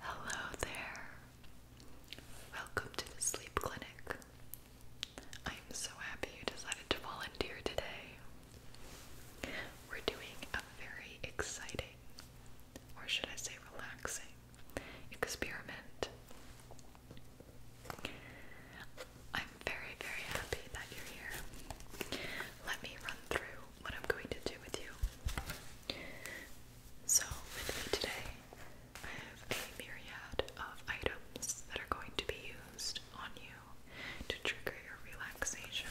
Hello there. Welcome to the sleep clinic. I am so happy you decided to volunteer today. We're doing a very exciting, or should I say relaxing, experiment. I'm very, very happy that you're here. Let me run through what I'm going to do with you. So, with me today, I have a myriad of items that are going to be used on you to trigger your relaxation.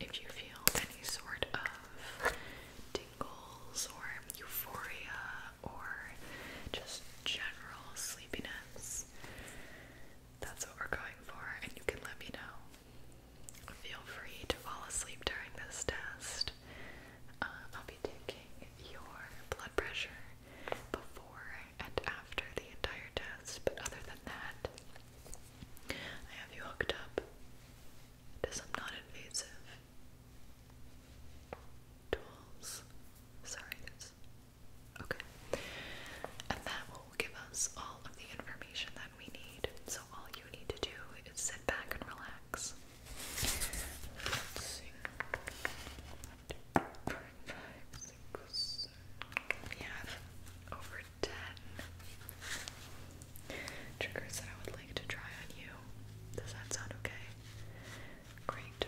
If you feel any sort of tingles or euphoria or just general sleepiness, that's what we're going for, and you can let me know. Feel free to fall asleep during this test. Uh, I'll be taking your blood pressure before and after the entire test, but other than that, I have you hooked up to some non invasive tools. Sorry, okay. And that will give us all of the information that we need. So all you need to do is sit back and relax. We have over ten triggers that I would like to try on you. Does that sound okay? Great.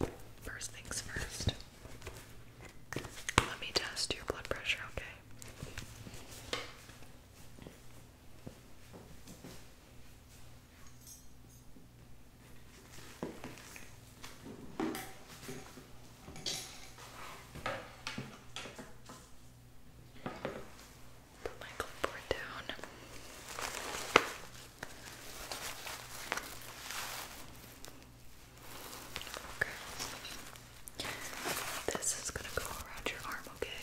Well, first things first. Let me test your blood pressure, okay? Put my clipboard down. Okay. This is gonna go around your arm, okay?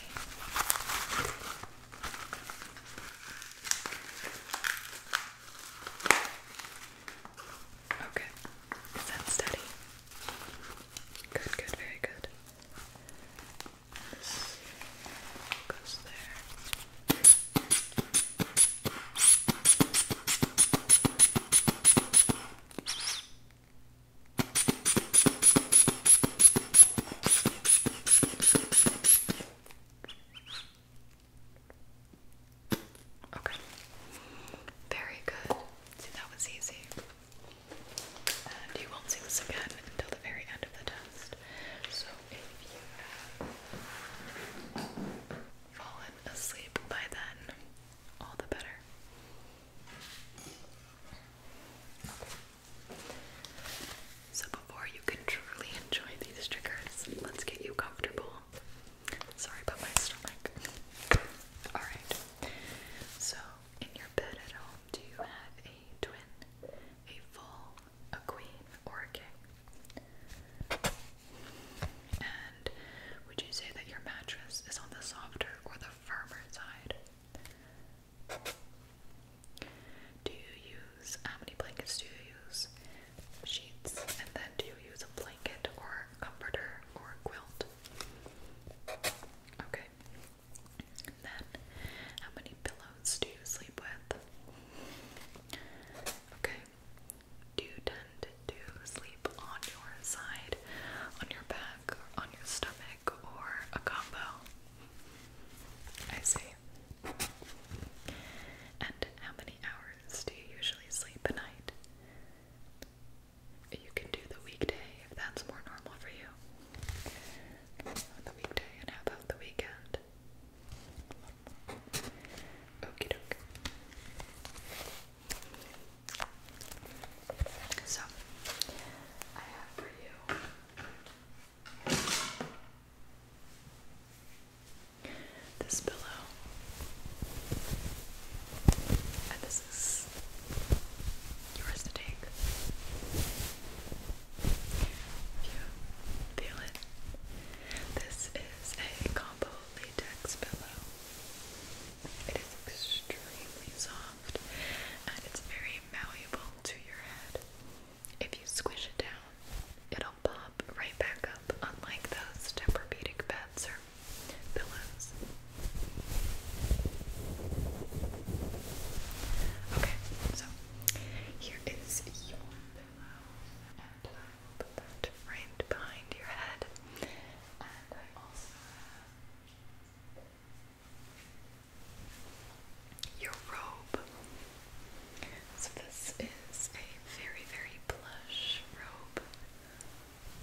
Okay. Is that steady? Good, good, very good. This goes there. Okay. Very good. See, that was easy. And you won't see this again until the very end of the test. So if you have fallen asleep by then, all the better. So, before you can truly enjoy these triggers, let's get you comfortable. Sorry about my stomach. Alright, so in your bed at home, do you have a twin, a full, a queen, or a king? And would you say that your mattress is on the softer or the firmer side. Do you use how many blankets do you use? Sheets, and then do you use a blanket or comforter or quilt? Okay. And then, how many pillows do you sleep with? Okay. Do you tend to sleep on your side, on your back? on your stomach or a combo. I see. And how many hours do you usually sleep a night? You can do the weekday if that's more normal for you. The weekday, and how about the weekend? Okie doke. So, I have for you this pillow, and this is yours to take. If you feel it, this is a combo latex pillow. It is extremely soft and it's very malleable to your head. If you squish it down, it'll pop right back up, unlike those Tempur-Pedic beds or pillows. Okay, so here is your pillow, and I will put that right behind your head. And I also have your robe. So, this is a very, very plush robe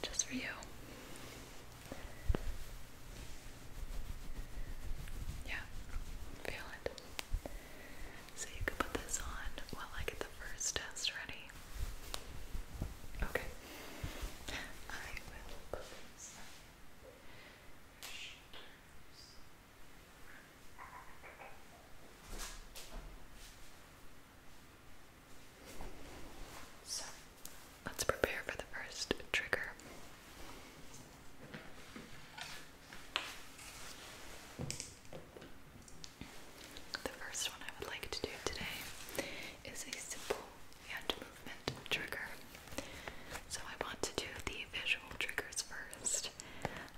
just for you. Yeah, feel it. So, you can put this on while I get the first test ready. Okay let's prepare for the first trigger. The first one I would like to do today is a simple and movement trigger. So I want to do the visual triggers first,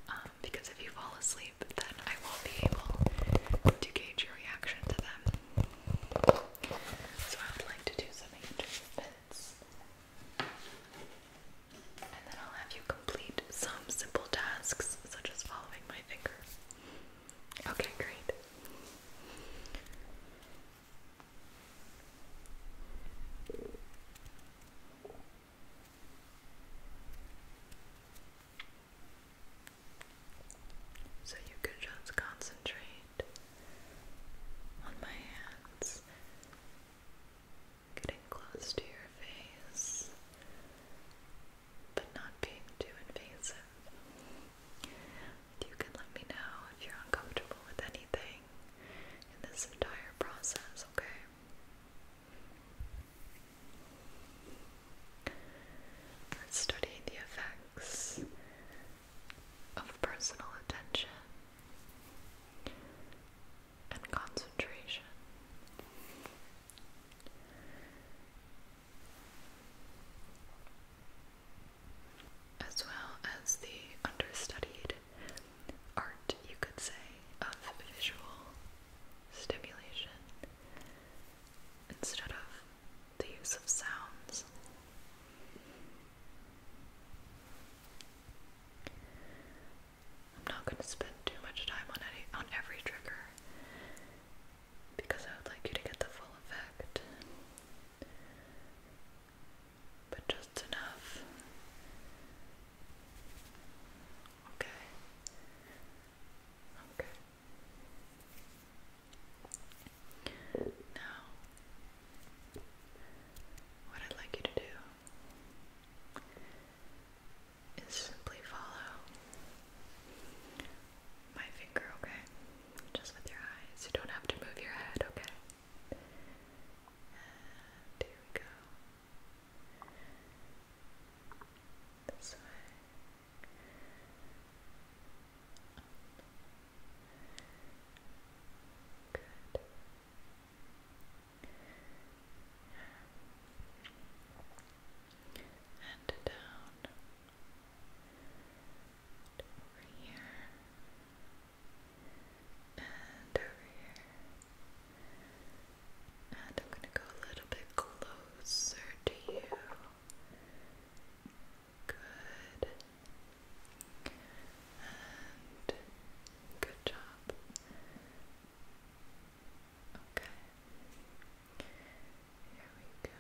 um, because if you fall asleep, then I won't be able to gauge your reaction to them. So I would like to do some hand movements, and then I'll have you complete some simple tasks, such as following my finger. Okay, great. So you can just concentrate on my hands getting close to your face, but not being too invasive. You can let me know if you're uncomfortable with anything in this entire process, okay? let the effects of personal attention and concentration as well as the understudied art, you could say, of visual stimulation instead of the use of sounds. I'm not going to spend too much time on any on every trigger because I would like you to get the full effect, but just enough. Okay. Okay. Now, what I'd like you to do is simply follow my finger, okay? Just with your eyes. You don't have to move your head, okay? And we go. This way. Good. And down over here, and over here. And I'm going to go a little bit closer to you. Good. And good job. Okay. Here we go.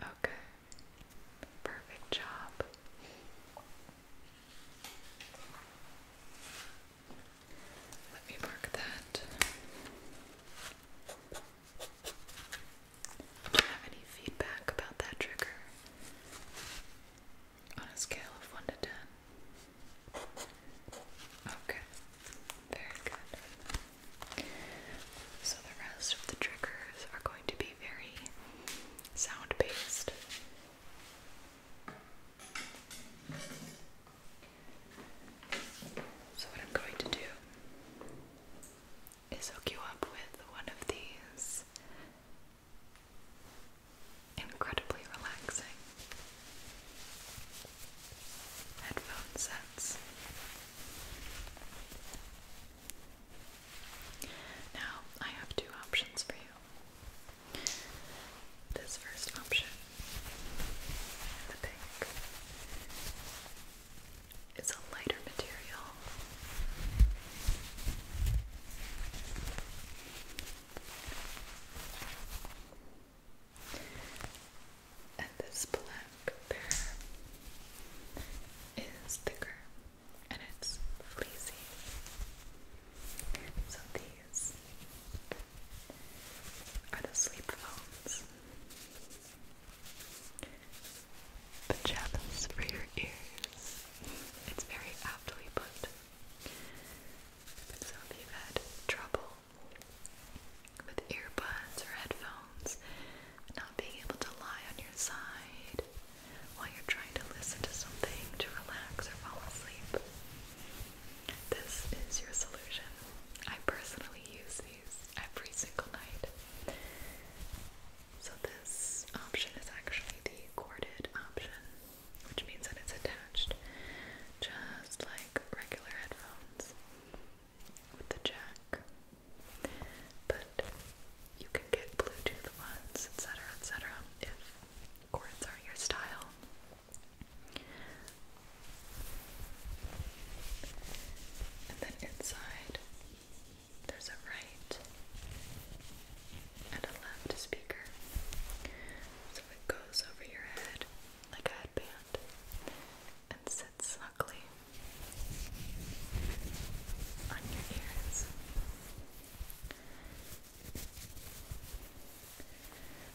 Okay, perfect job. Let me mark that. Do you have any feedback about that trigger? On a scale of 1 to 10? Okay, very good. So, the rest of the triggers are going to be very sound based. So, what I'm going to do is hook you up with one of these incredibly relaxing headphone sets. Now, I have two options for you. This first option, the pink, is a lighter material. And this black pair is thicker and it's fleecy. So these are the sleep phones. Pajamas for your ears. It's very aptly put. So if you've had trouble with earbuds or headphones, not being able to lie on your side, while you're trying to listen to something to relax or fall asleep. This is your solution. I personally use these every single night. So, this option is actually the corded option, which means that it's attached just like regular headphones with the jack. But you can get Bluetooth ones, etc., etc., if chords are your style. And then inside, there's a right and a left speaker. So it goes over your head like a headband and sits snugly on your ears.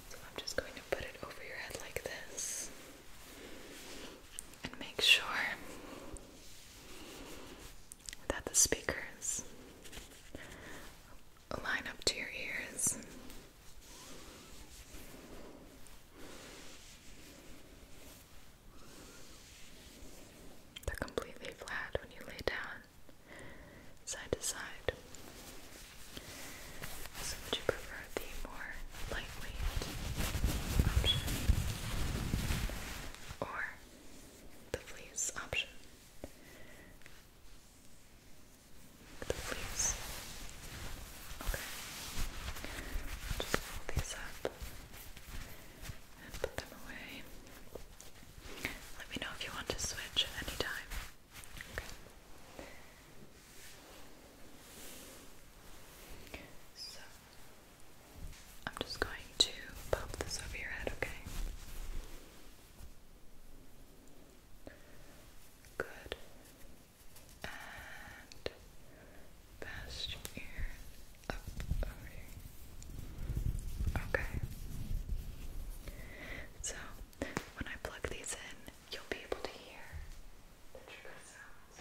So I'm just going to put it over your head like this and make sure that the speakers line up to your ears. They're completely flat when you lay down side to side. So would you prefer the more lightweight option or the fleece option? The fleece. Okay. Just fold these up and put them away. Let me know if you want to switch at any time. So I'm just going to pop this over your head, okay? Good. And past your ear. Okay. So when I plug these in, you'll be able to hear the trigger sounds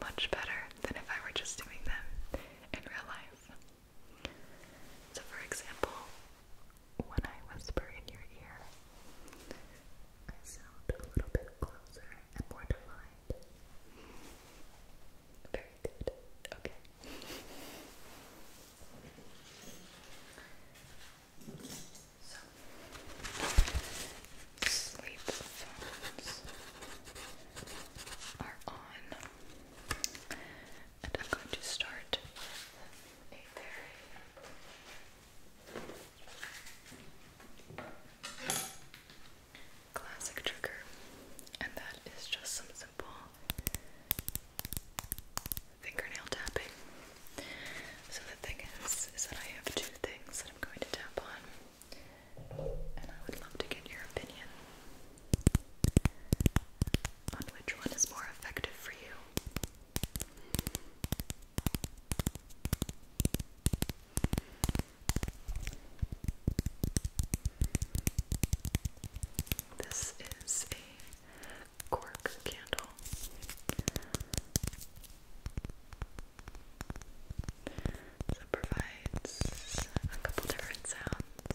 much better than if I were just doing them in real life. So, for example, when I whisper in your ear, I sound a little bit closer and more defined. Very good. Okay. sleep phones are on, and I'm going to start classic trigger, and that is just some simple fingernail tapping. So the thing is, is that I have two things that I'm going to tap on, and I would love to get your opinion on which one is more effective for you. This is a cork candle. it provides a couple different sounds.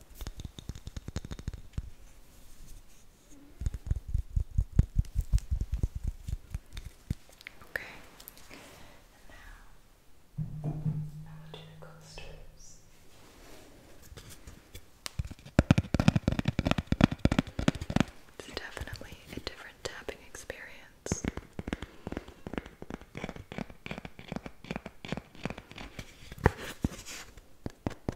Okay, now I will do the coasters. It's definitely a different tapping experience.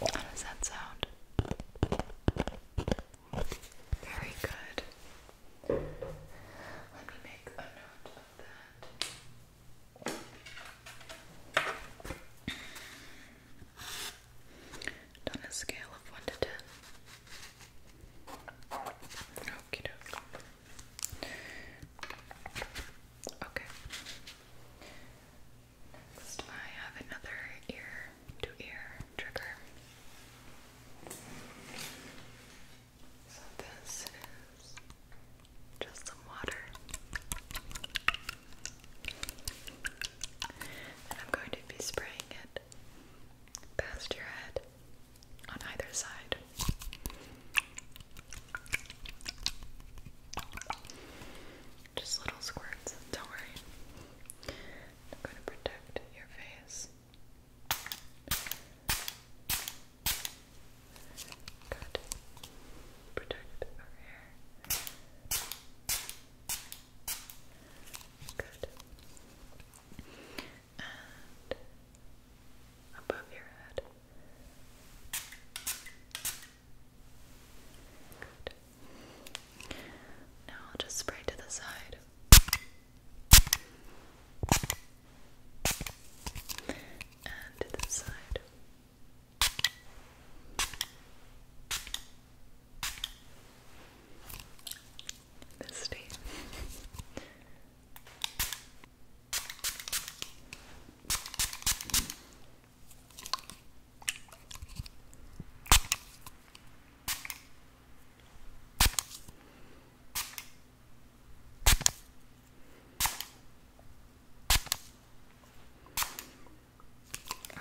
How does that sound? Very good. Let me make a note of that. On a scale of 1 to 10. Okie Okay. Next, I have another ear to ear trigger. So, this is just some water. And I'm going to be spraying it past your head on either side. Just little squirts, don't worry. I'm going to protect your face. Good. Protect our hair. Good. And above your head. Now I'll just spray to the side. And to the side. This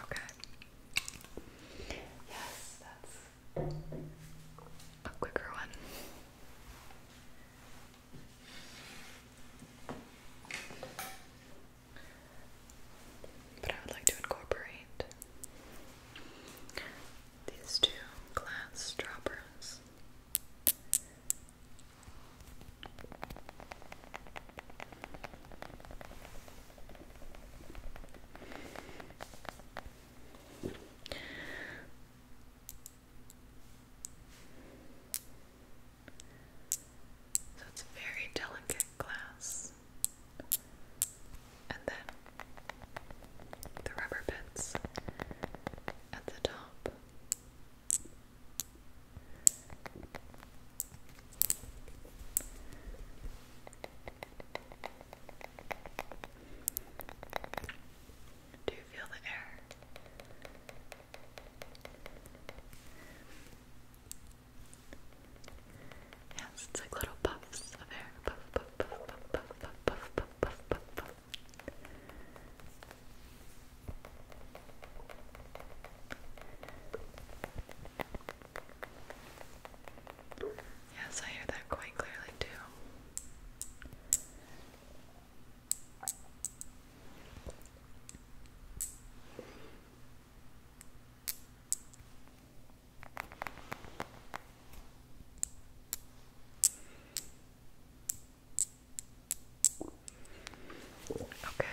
Okay. Yes, that's a quicker one. But I would like to incorporate these two glass droppers. So it's very delicate glass. And then the rubber bits at the top. Do you feel the air? Yes, it's like little puffs of hair. Yes, I hear that quite clearly too. Okay.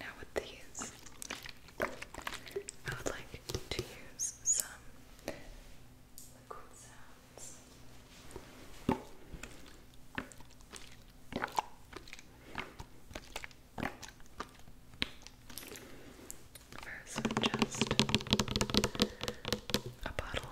Now with these, I would like to use some liquid sounds. First, just a bottle.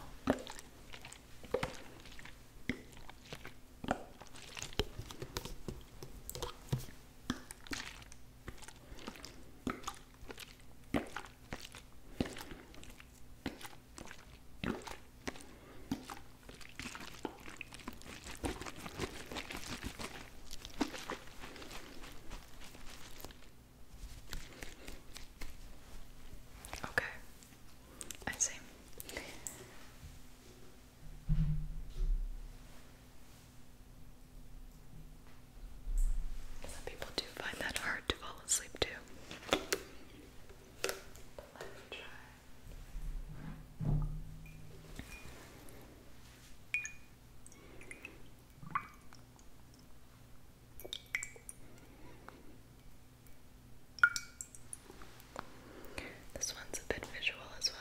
Okay, I see. Some people do find that hard to fall asleep to the left side. This one's a bit visual as well.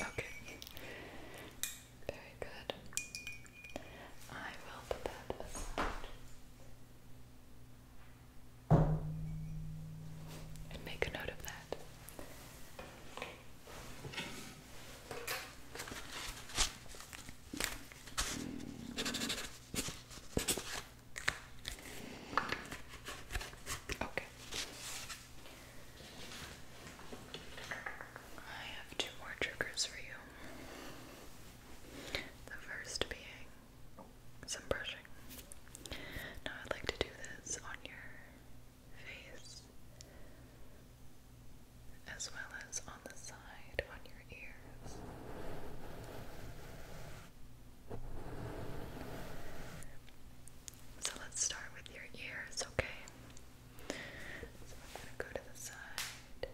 Okay. Very good. I will put that aside. And make a note of that. Okay. I have two more triggers for you. The first being some brushing. Now, I'd like to do this on your face as well as on the side, on your ears. So let's start with your ears, okay? So I'm going to go to the side.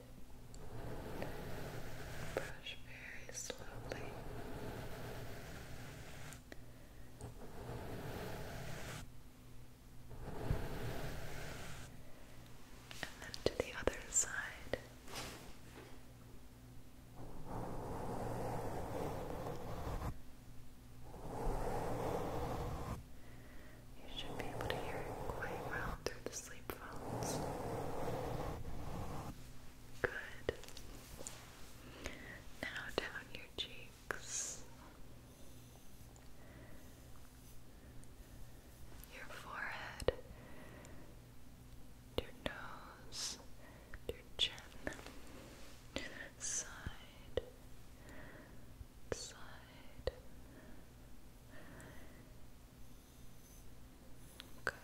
Brush very slowly. And then to the other side. You should be able to hear it quite well through the sleep phones. Good. Now down your cheeks, your forehead, your nose, your chin, side, side. Okay.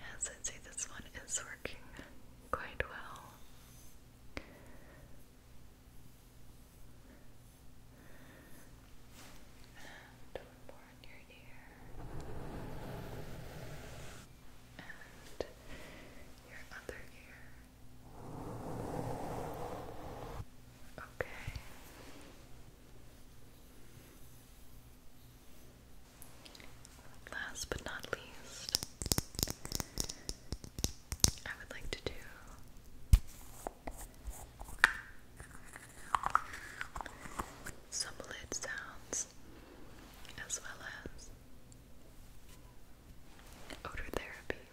Yes, I'd say this one is working quite well. And one your ear. And your other ear. Okay. Last but not least, I would like to do some lid sounds as well as odor therapy,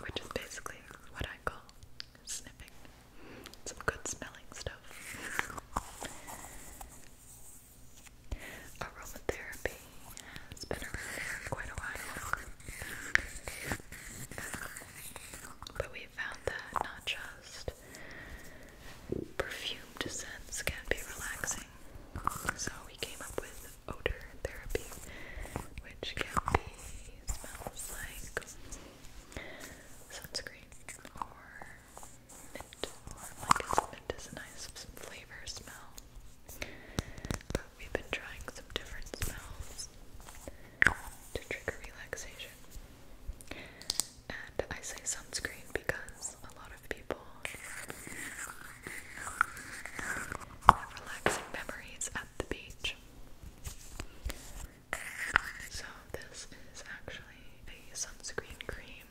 which is basically what I call sniffing some good smelling stuff. Aromatherapy has been around for quite a while. But we found that not just perfumed scents can be relaxing. So we came up with odor therapy, which can be smells like sunscreen or mint, or like mint is a nice flavor smell. But we've been trying some different smells to trigger relaxation. And I say sunscreen because a lot of people have relaxing memories at the beach. So, this is actually a sunscreen cream.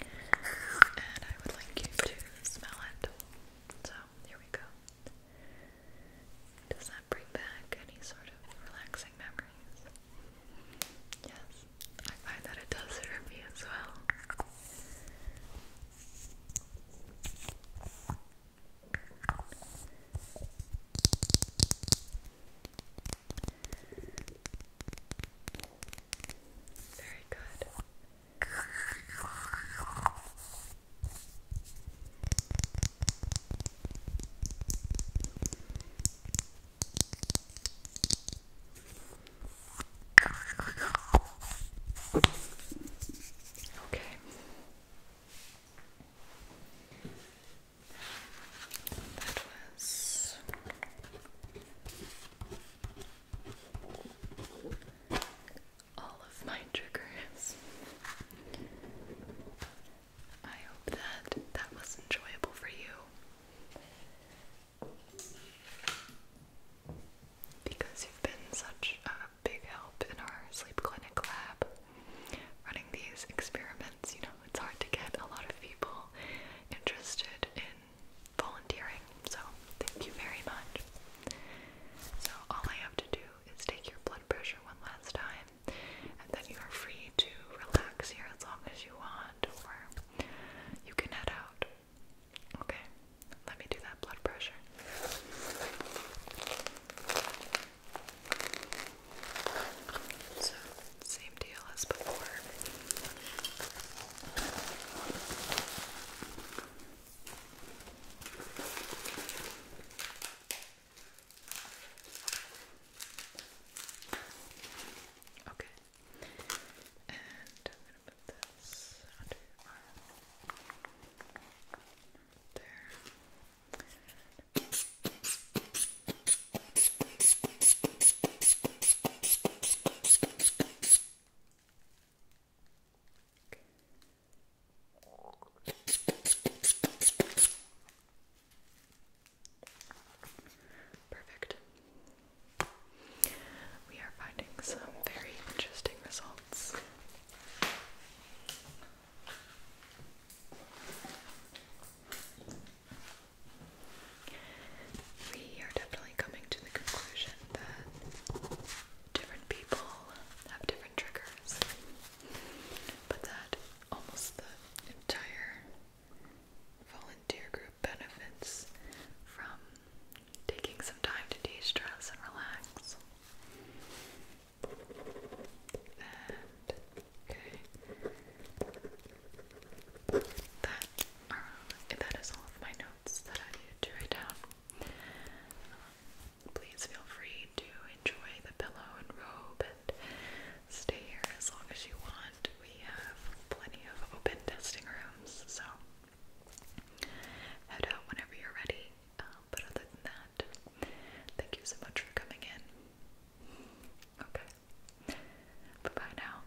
And I would like you to smell it. So, here we go. Does that bring back any sort of relaxing memories? Yes, I find that it does for me as well. Very good. Okay. That all of my triggers. I hope that that was enjoyable for you. Because you've been such a big help in our sleep clinic lab running these experiments. You know, it's hard to get a lot of people interested in volunteering. So, thank you very much. So, all I have to do is take your blood pressure one last time, and then you are free to relax here as long as you want, or you can head out. Okay, let me do that blood pressure. So, same deal as before. Okay. And I'm going to put this under your arm. There. Perfect. We are finding some very interesting results. We are definitely coming to the conclusion that different people have different triggers, but that almost the entire volunteer group benefits from taking some time to de stress and relax. okay, that are that is all of my notes that I needed to write down. Um, please feel free to enjoy the pillow and robe and stay here as long as you want. We have plenty of open testing rooms, so head out whenever you're ready. Um, but other than that, thank you so much for coming in. Okay. Bye bye now.